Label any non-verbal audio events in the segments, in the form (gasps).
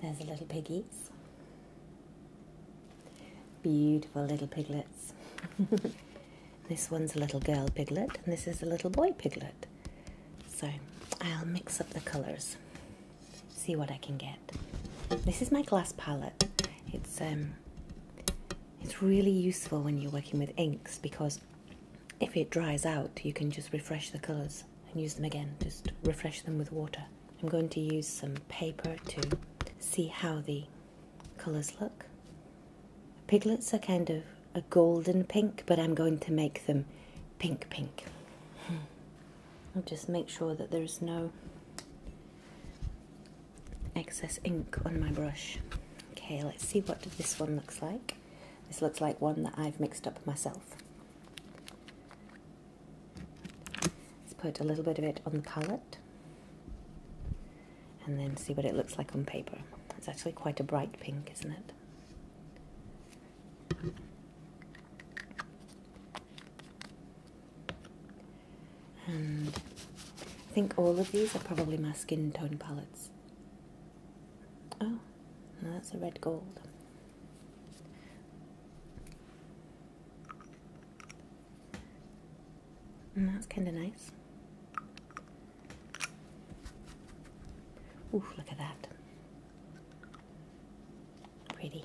There's the little piggies. Beautiful little piglets. (laughs) this one's a little girl piglet, and this is a little boy piglet. So I'll mix up the colours, see what I can get. This is my glass palette. It's um, it's really useful when you're working with inks because if it dries out, you can just refresh the colours and use them again. Just refresh them with water. I'm going to use some paper to see how the colours look. Piglets are kind of a golden pink, but I'm going to make them pink pink. (laughs) I'll just make sure that there's no excess ink on my brush. Okay, let's see what this one looks like. This looks like one that I've mixed up myself. Let's put a little bit of it on the palette and then see what it looks like on paper. It's actually quite a bright pink, isn't it? And I think all of these are probably my skin tone palettes. Oh, that's a red gold. And mm, that's kind of nice. Ooh, look at that. Pretty.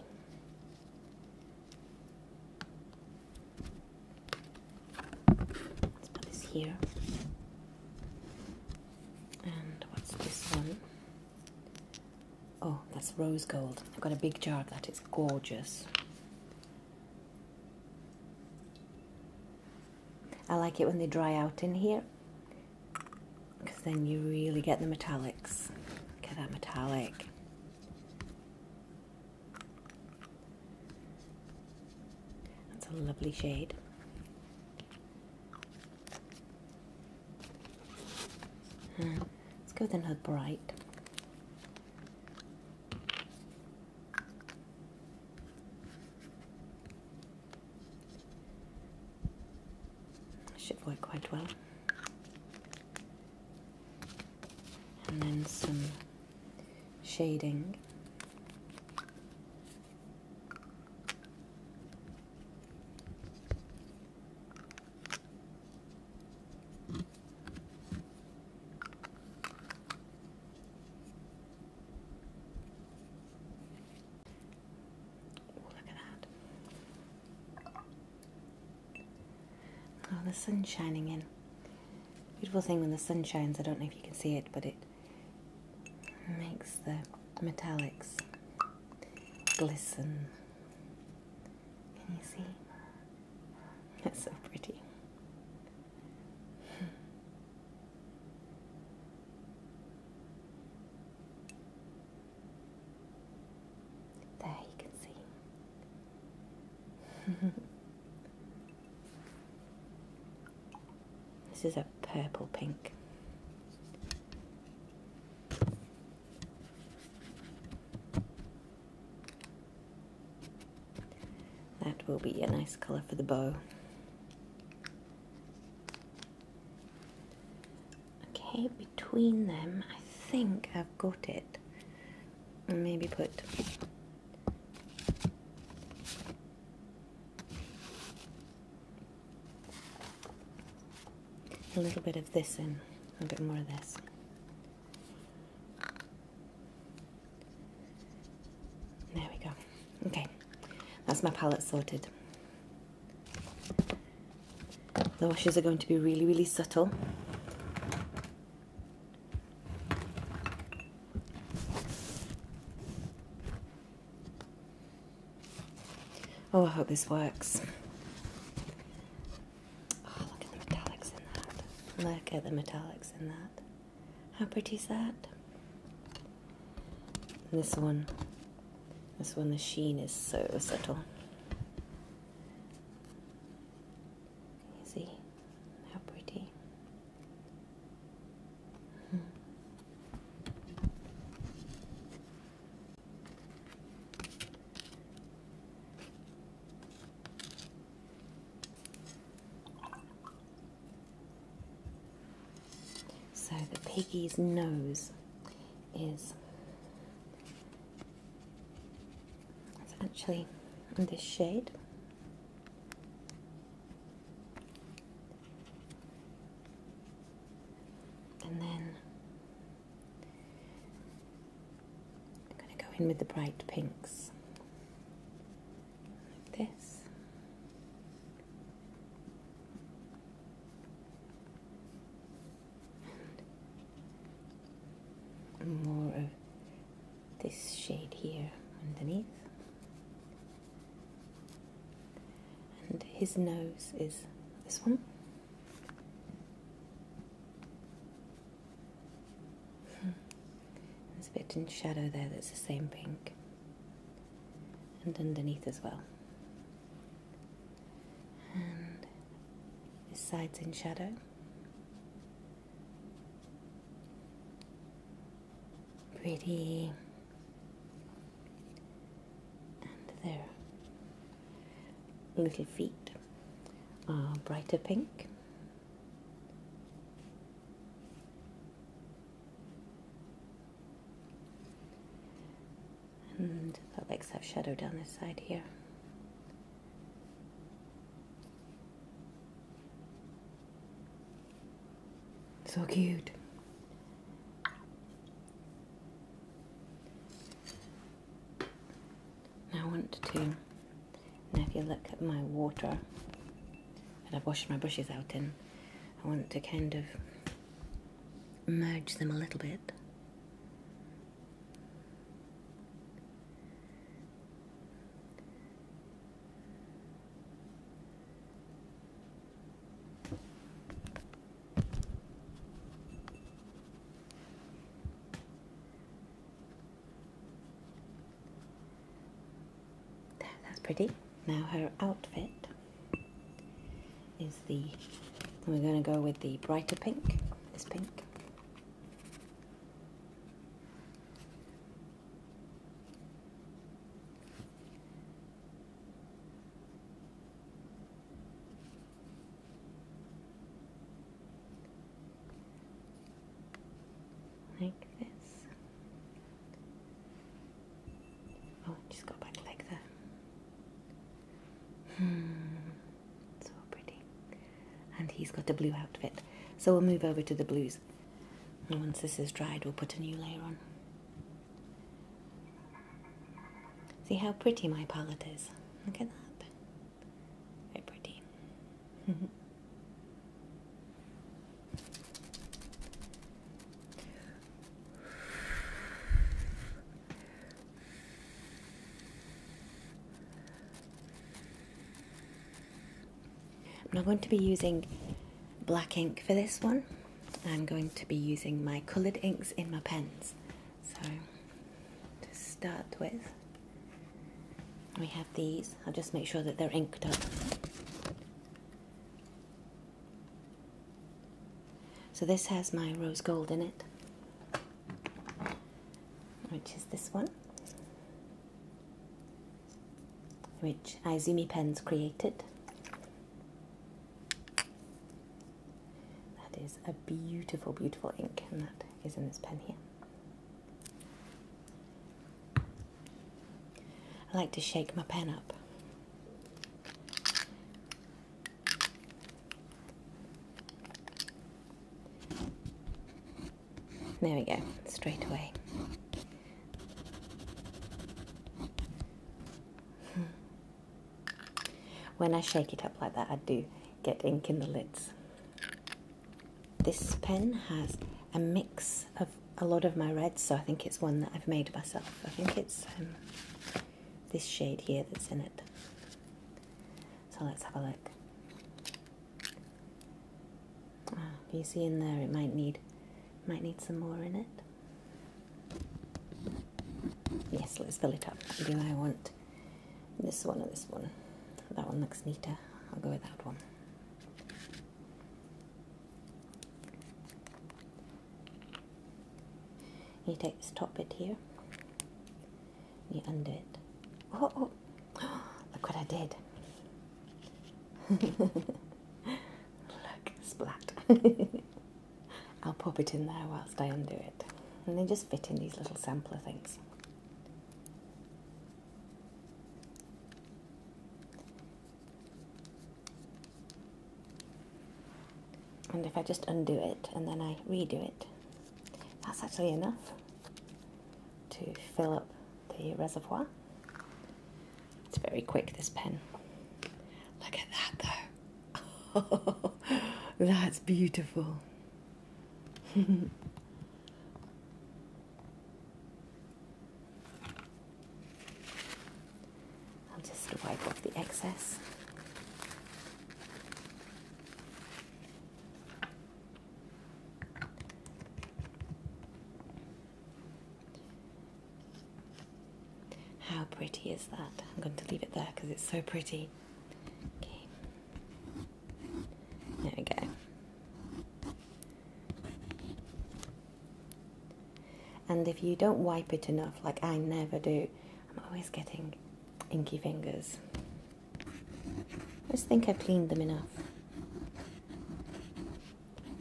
let here. And what's this one? Oh, that's rose gold. I've got a big jar of that, it's gorgeous. I like it when they dry out in here because then you really get the metallics. Look at that metallic. That's a lovely shade. Hmm. Let's go with another bright. Should work quite well. And then some shading look at that. Oh, the sun shining in. Beautiful thing when the sun shines. I don't know if you can see it, but it makes the metallics glisten. Can you see? That's so pretty. (laughs) There you can see. (laughs) This is a purple pink. That will be a nice colour for the bow. Okay, between them, I think I've got it. And maybe put a little bit of this in, a bit more of this. There we go. Okay, that's my palette sorted. The washes are going to be really, really subtle. Oh, I hope this works. Oh, look at the metallics in that. How pretty is that? this one. This one, the sheen is so subtle. Can you see How pretty. So the piggy's nose is actually in this shade. And then I'm going to go in with the bright pinks like this. And more of this shade here underneath and his nose is this one. Hmm. There's a bit in shadow there that's the same pink, and underneath as well. And this side's in shadow. Pretty and their little feet are brighter pink. And the legs have shadow down the side here. So cute. Now I want to, now if you look at my water that I've washed my brushes out in, I want to kind of merge them a little bit that's pretty. Now her outfit is the, we're going to go with the brighter pink, this pink like this. Oh, just go back like that. Hmm, so pretty. And he's got a blue outfit. So we'll move over to the blues. And once this is dried, we'll put a new layer on. See how pretty my palette is. Look at that. Very pretty. I'm not going to be using black ink for this one. I'm going to be using my coloured inks in my pens. So to start with, we have these. I'll just make sure that they're inked up. So this has my rose gold in it, which is this one which Izumi Pens created. That is a beautiful, beautiful ink, and that is in this pen here. I like to shake my pen up. There we go, straight away when I shake it up like that, I do get ink in the lids. This pen has a mix of a lot of my reds, so I think it's one that I've made myself. I think it's um, this shade here that's in it. So let's have a look. Ah, you see in there, it might need might need some more in it. Yes, let's fill it up. Do I want this one or this one? That one looks neater. I'll go with that one. You take this top bit here, you undo it. oh, oh. (gasps) look what I did. Look, splat. (laughs) I'll pop it in there whilst I undo it. And then just fit in these little sampler things. And if I just undo it and then I redo it, that's actually enough to fill up the reservoir. It's very quick, this pen. Look at that, though. (laughs) that's beautiful. (laughs) I'll just wipe off the excess. How pretty is that? I'm going to leave it there because it's so pretty. Okay. There we go. And if you don't wipe it enough, like I never do, I'm always getting inky fingers. I just think I've cleaned them enough.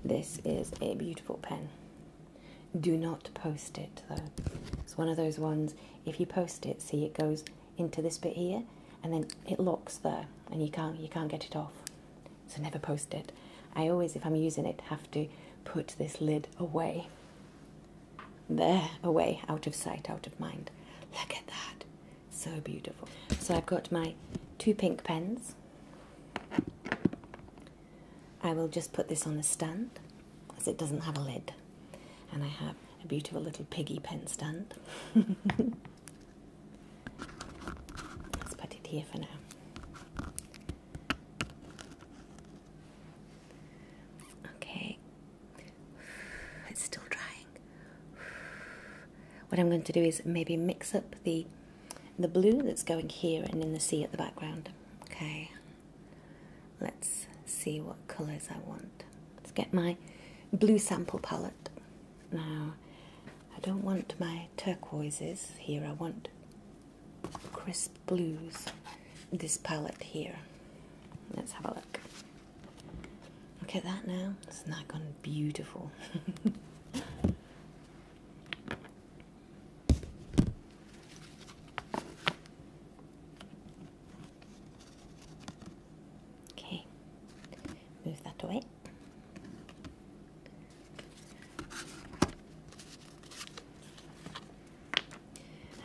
This is a beautiful pen. Do not post it though. It's one of those ones, if you post it, see it goes into this bit here and then it locks there and you can't you can't get it off. So never post it. I always if I'm using it have to put this lid away. There away out of sight, out of mind. Look at that. So beautiful. So I've got my two pink pens. I will just put this on a stand as it doesn't have a lid. And I have a beautiful little piggy pen stand. (laughs) Let's put it here for now. Okay. (sighs) It's still drying. (sighs) What I'm going to do is maybe mix up the the blue that's going here and in the sea at the background. Okay, let's see what colours I want. Let's get my blue sample palette. Now, I don't want my turquoises here, I want crisp blues. This palette here. Let's have a look. Look at that now. Isn't that gone beautiful? (laughs) okay, move that away.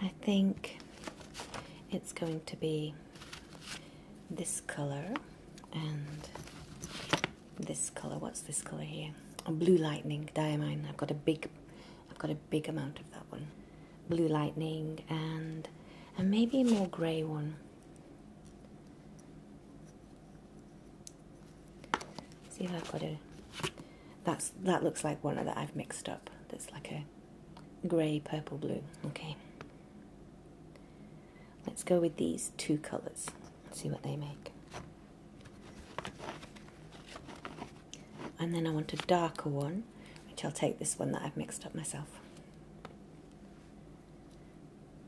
I think it's going to be this color and this color. What's this color here? blue lightning diamine. I've got a big, I've got a big amount of that one. Blue lightning and and maybe a more grey one. See if I've got a. That's that looks like one that I've mixed up. That's like a grey purple blue. Okay. Let's go with these two colors, see what they make. And then I want a darker one, which I'll take this one that I've mixed up myself.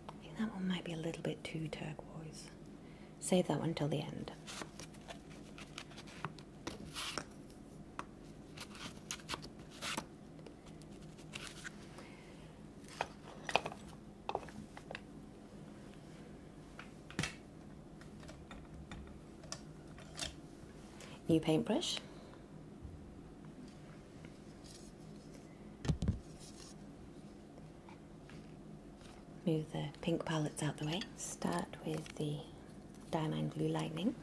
I think that one might be a little bit too turquoise. Save that one till the end. New paintbrush. Move the pink palettes out the way. Start with the Diamond Blue Lightning.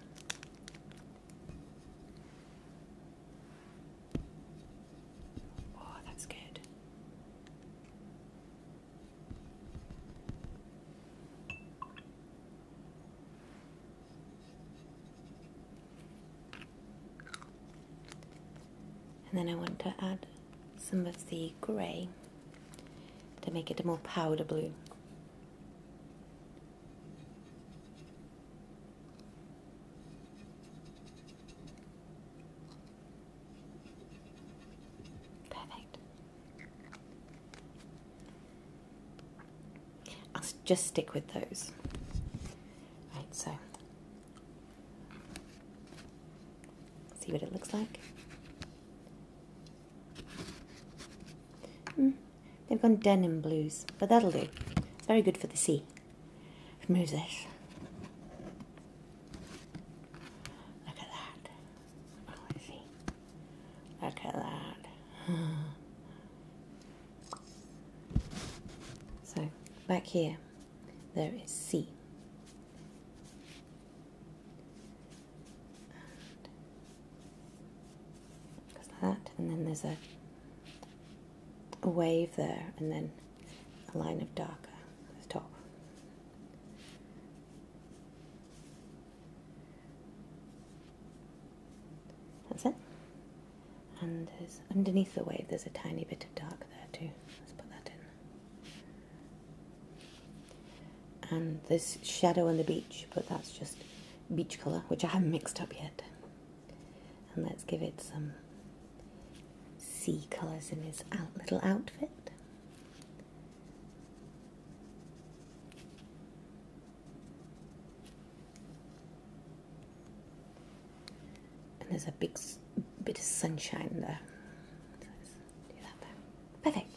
Oh, that's good. And then I want to add some of the grey to make it a more powder blue. Perfect. I'll just stick with those. Right, so see what it looks like. Mm. They've gone denim blues, but that'll do. It's very good for the sea. Remove this. Look at that. Oh, I see. Look at that. (laughs) so, back here, there is C. And goes that, and then there's a a wave there and then a line of darker at the top. That's it. And there's, underneath the wave there's a tiny bit of dark there too. Let's put that in. And there's shadow on the beach, but that's just beach colour, which I haven't mixed up yet. And let's give it some sea colours in his little outfit. And there's a big bit of sunshine there. Perfect.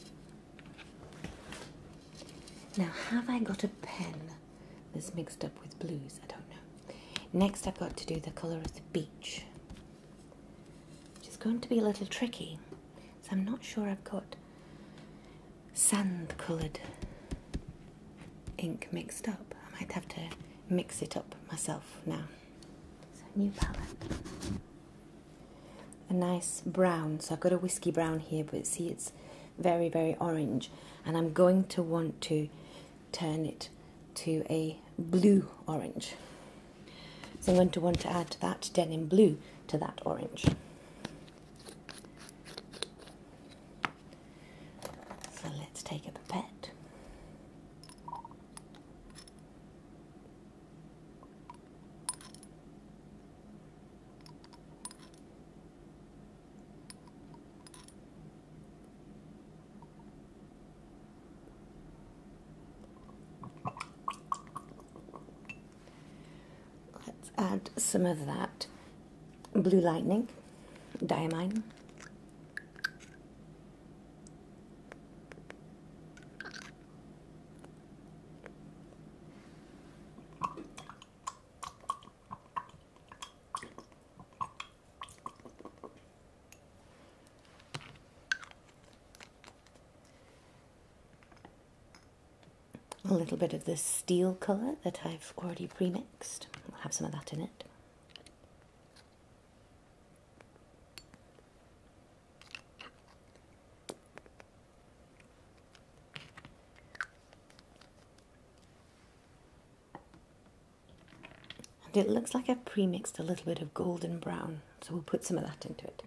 Now, have I got a pen? that's mixed up with blues. I don't know. Next, I've got to do the colour of the beach, which is going to be a little tricky. So I'm not sure I've got sand coloured ink mixed up. I might have to mix it up myself now. So, new palette. A nice brown, so I've got a whisky brown here, but see, it's very, very orange. And I'm going to want to turn it to a blue orange. So I'm going to want to add that denim blue to that orange. So let's take a pipette. Let's add some of that blue lightning, diamine. A little bit of this steel colour that I've already pre-mixed. I'll have some of that in it. And it looks like I've premixed a little bit of golden brown, so we'll put some of that into it.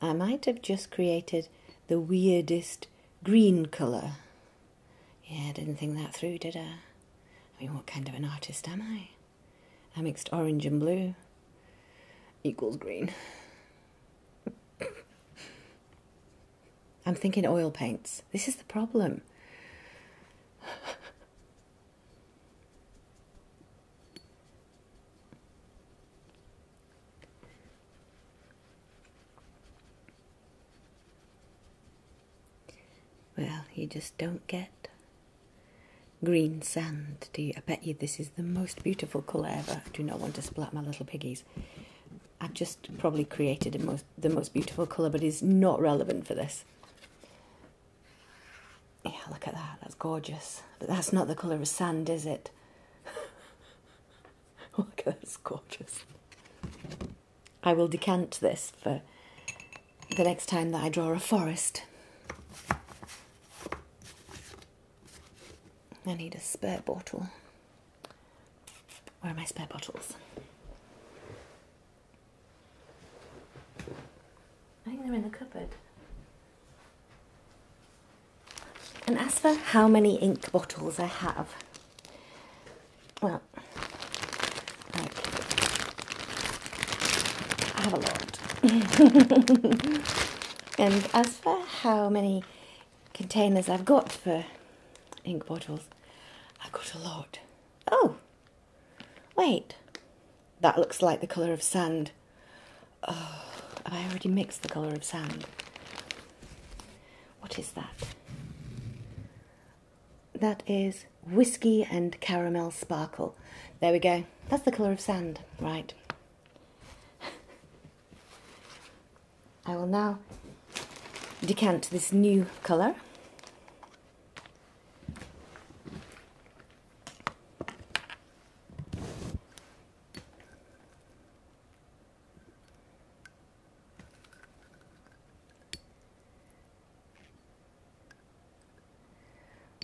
I might have just created the weirdest green colour. Yeah, I didn't think that through, did I? I mean, what kind of an artist am I? I mixed orange and blue equals green. (laughs) I'm thinking oil paints. This is the problem. (laughs) Well, you just don't get green sand, do you? I bet you this is the most beautiful colour ever. I do not want to splat my little piggies. I've just probably created the most beautiful colour, but it's not relevant for this. Yeah, look at that. That's gorgeous. But that's not the colour of sand, is it? (laughs) look at that's gorgeous. I will decant this for the next time that I draw a forest. I need a spare bottle. Where are my spare bottles? I think they're in the cupboard. And as for how many ink bottles I have, well, I have a lot. (laughs) and as for how many containers I've got for ink bottles, I've got a lot. Oh, Wait, that looks like the colour of sand. Oh, have I already mixed the colour of sand? What is that? That is whiskey and caramel sparkle. There we go. That's the colour of sand, right? I will now decant this new colour.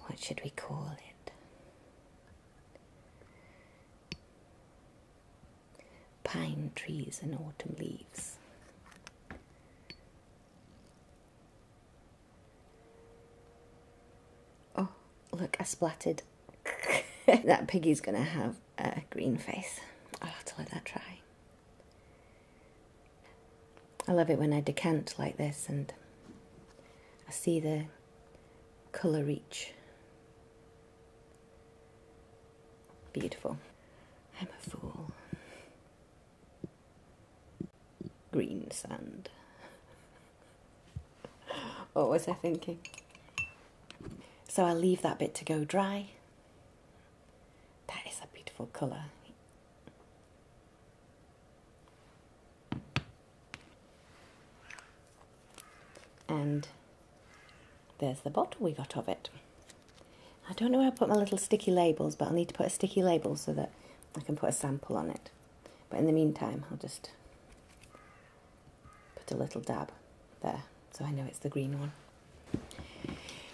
What should we call it? Pine trees and autumn leaves. Oh, look, I splattered. (laughs) that piggy's gonna have a green face. I'll have to let that dry. I love it when I decant like this and I see the colour reach. Beautiful. I'm a fool green sand. (laughs) what was I thinking? So I'll leave that bit to go dry. That is a beautiful colour. And there's the bottle we got of it. I don't know where I put my little sticky labels, but I'll need to put a sticky label so that I can put a sample on it. But in the meantime, I'll just put a little dab there so I know it's the green one.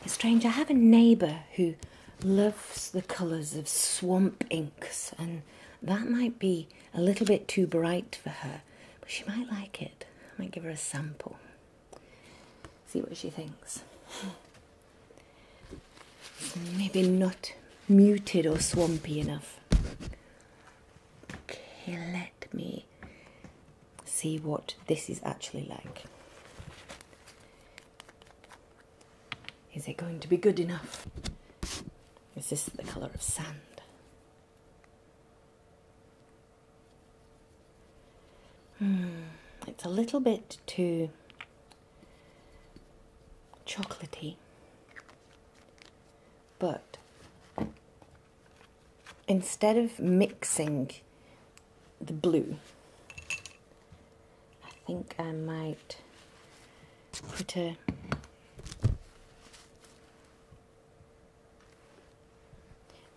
It's strange, I have a neighbour who loves the colours of swamp inks, and that might be a little bit too bright for her, but she might like it. I might give her a sample, see what she thinks. Maybe not muted or swampy enough. Okay, let me see what this is actually like. Is it going to be good enough? Is this the colour of sand? Hmm, it's a little bit too chocolatey, but instead of mixing the blue, I think I might put a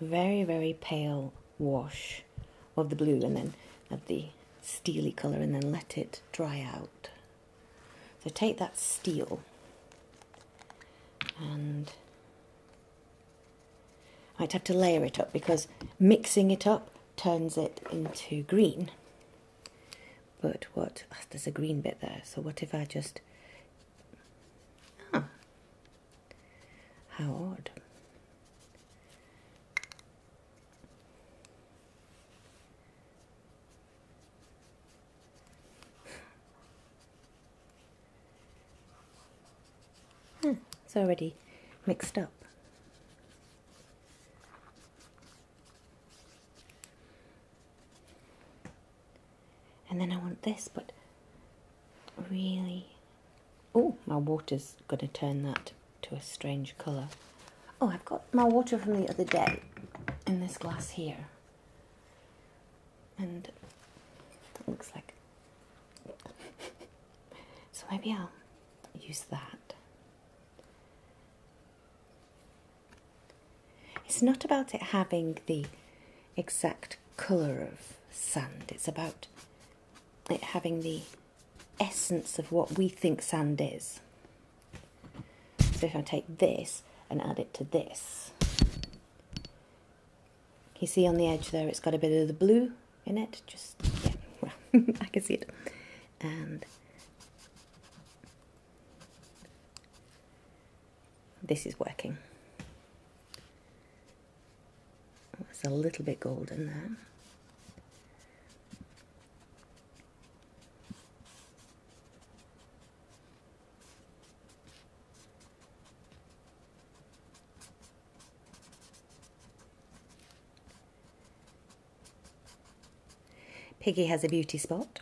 very, very pale wash of the blue and then of the steely colour and then let it dry out. So take that steel and I'd have to layer it up because mixing it up turns it into green. But what, oh, there's a green bit there, so what if I just, ah, how odd. Hmm, it's already mixed up. And then I want this, but really Oh, my water's going to turn that to a strange colour. Oh, I've got my water from the other day in this glass here. And it looks like. (laughs) so maybe I'll use that. It's not about it having the exact colour of sand, it's about it having the essence of what we think sand is. So if I take this and add it to this, you see on the edge there it's got a bit of the blue in it, just, yeah, (laughs) well, I can see it. And this is working. It's a little bit golden there. Piggy has a beauty spot.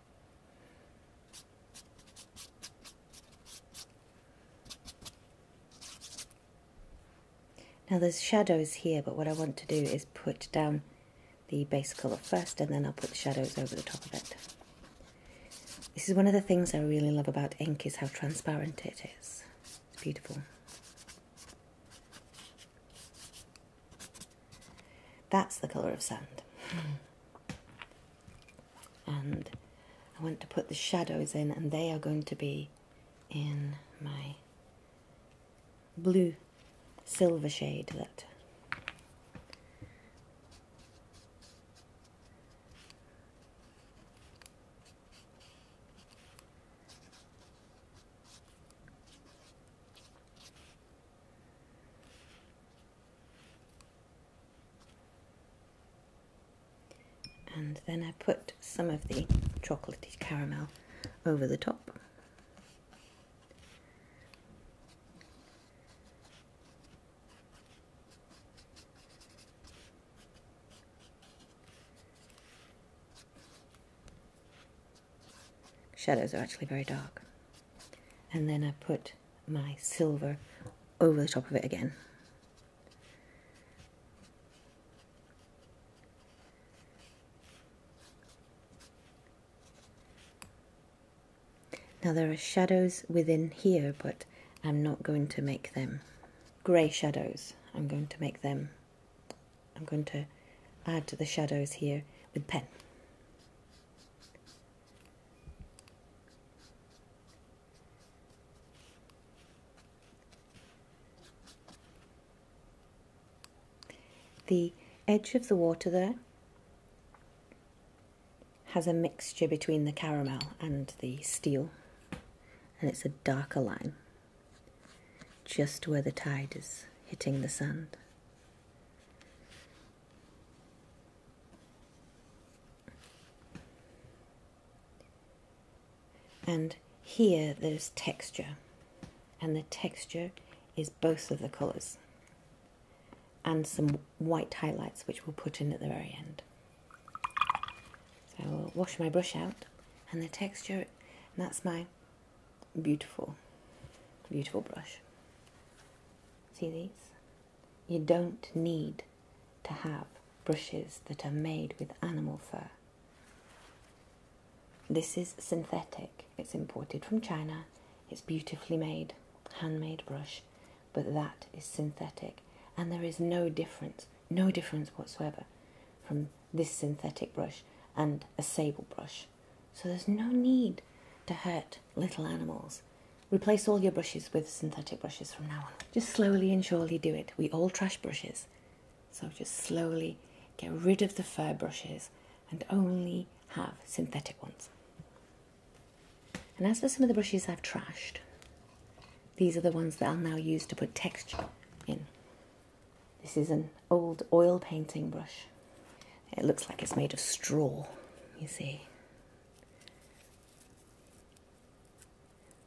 Now there's shadows here, but what I want to do is put down the base colour first and then I'll put the shadows over the top of it. This is one of the things I really love about ink is how transparent it is. It's beautiful. That's the colour of sand. And I want to put the shadows in, and they are going to be in my blue silver shade that and then I put some of the chocolatey caramel over the top. Shadows are actually very dark and then I put my silver over the top of it again. Now there are shadows within here, but I'm not going to make them grey shadows. I'm going to make them, I'm going to add to the shadows here with pen. The edge of the water there has a mixture between the caramel and the steel and it's a darker line just where the tide is hitting the sand. And here there's texture, and the texture is both of the colours and some white highlights which we'll put in at the very end. So I'll wash my brush out and the texture, and that's my beautiful, beautiful brush. See these? You don't need to have brushes that are made with animal fur. This is synthetic, it's imported from China, it's beautifully made, handmade brush, but that is synthetic, and there is no difference, no difference whatsoever from this synthetic brush and a sable brush so there's no need to hurt little animals. Replace all your brushes with synthetic brushes from now on. Just slowly and surely do it. We all trash brushes. So just slowly get rid of the fur brushes and only have synthetic ones. And as for some of the brushes I've trashed, these are the ones that I'll now use to put texture in. This is an old oil painting brush. It looks like it's made of straw, you see.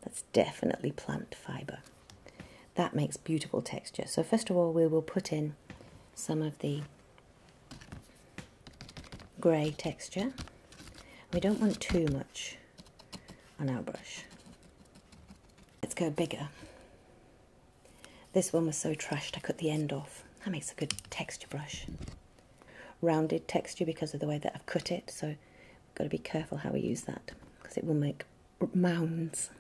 That's definitely plant fibre. That makes beautiful texture. So first of all, we will put in some of the grey texture. We don't want too much on our brush. Let's go bigger. This one was so trashed I cut the end off. That makes a good texture brush. Rounded texture because of the way that I've cut it, so I've got to be careful how we use that because it will make mounds.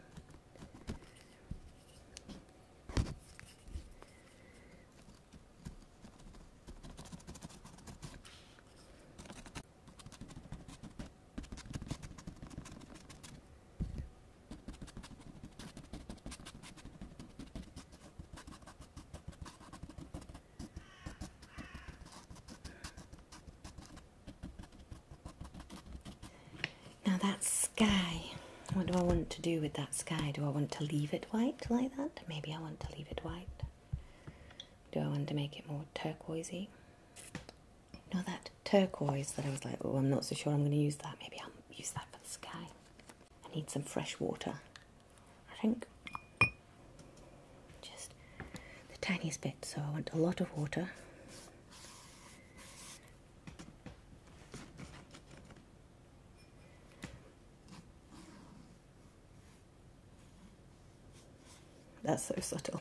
Now that sky, what do I want to do with that sky? Do I want to leave it white like that? Maybe I want to leave it white. Do I want to make it more turquoisey? Not that turquoise that I was like, oh, I'm not so sure I'm going to use that. Maybe I'll use that for the sky. I need some fresh water. I think just the tiniest bit, so I want a lot of water. That's so subtle.